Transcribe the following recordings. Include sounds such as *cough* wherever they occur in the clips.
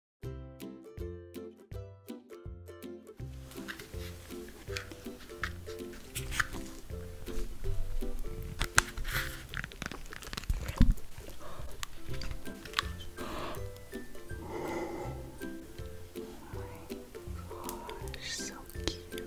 Oh my gosh, so cute.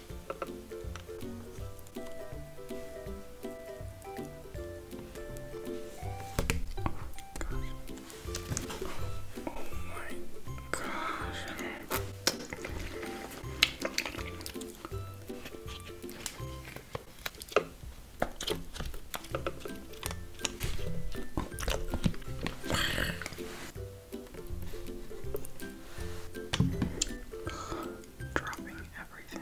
Oh my gosh. Dropping everything.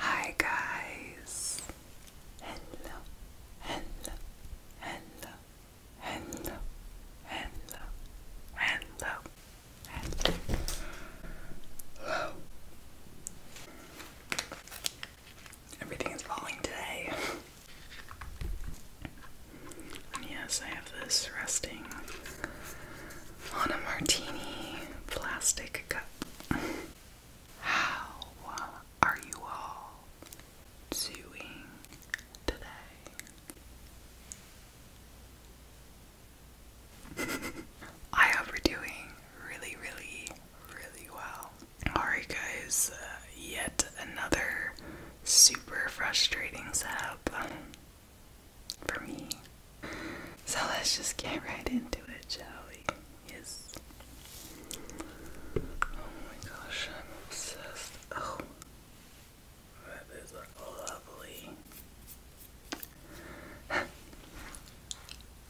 Hi guys. Hello. Hello. Hello. Hello. Hello. Hello. Hello. Everything is falling today. yes, I have this resting on a martini plastic cup. How are you all doing today? *laughs* I hope doing really, really, really well. Alright, guys, uh, yet another super frustrating setup um, for me. So let's just get right into it, shall we? Yes. Oh my gosh, I'm obsessed. Oh, that is lovely. *laughs*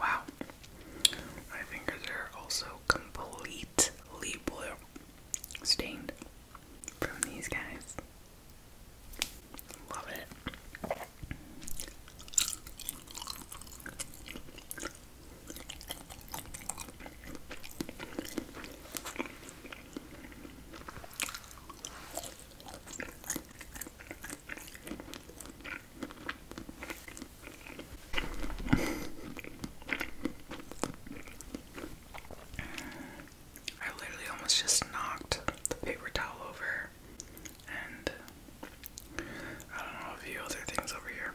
Wow. My fingers are also completely blue. Stained from these guys. Love it. I literally almost just knocked the paper towel over and I don't know a few other things over here.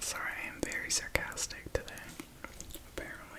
Sorry, I am very sarcastic today, apparently.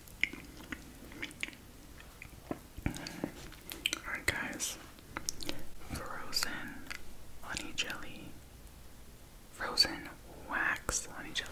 Alright, guys. Frozen honey jelly. Frozen wax honey jelly.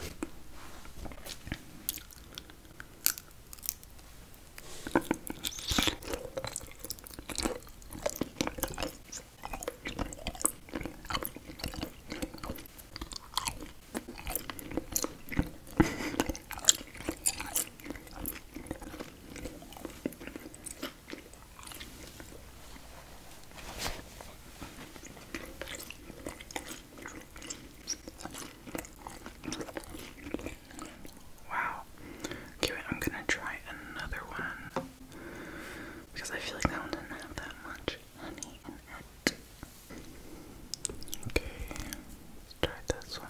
Wow. Okay, I'm gonna try another one because I feel like that one didn't have that much honey in it. Okay, let's try this one.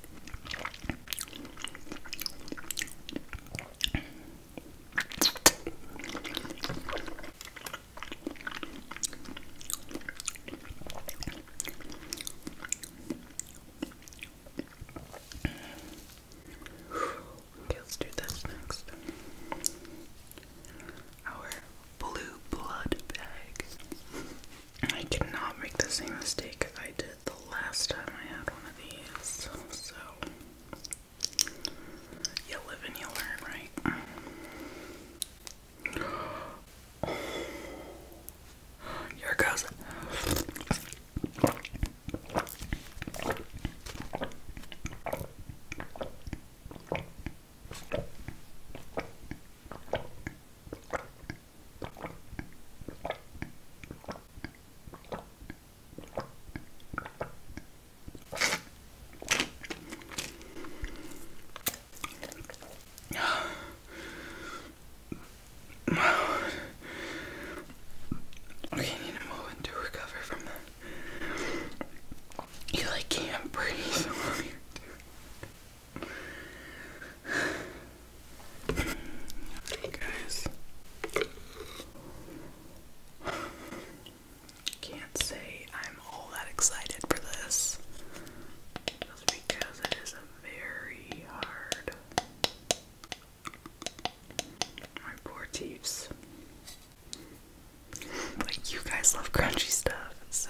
Okay, let's do this next. Our blue blood bag. I cannot make the same mistake I did the last time I had one of these. So, you live and you learn, right? Here goes. Okay, I need a moment to recover from that. You like can *laughs* Okay, guys. *sighs* Can't say I'm all that excited for this. because it is a very hard. My poor teeps. Like, you guys love crunchy stuff, so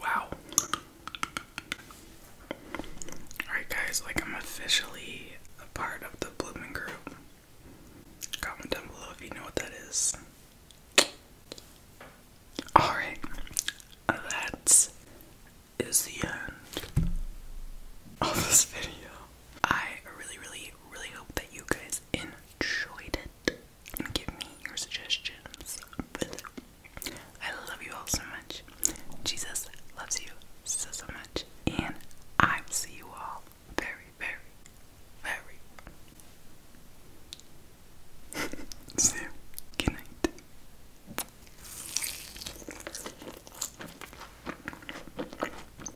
Wow. Alright, guys, like I'm officially a part of the Bloomin' Group. Comment down below if you know what that is. Alright, that is the end of this video. I really, really, really hope that you guys enjoyed it and give me your suggestions. I love you all so much. Jesus loves you so, so much. And I will see you all very, very, very *laughs* soon. Good night.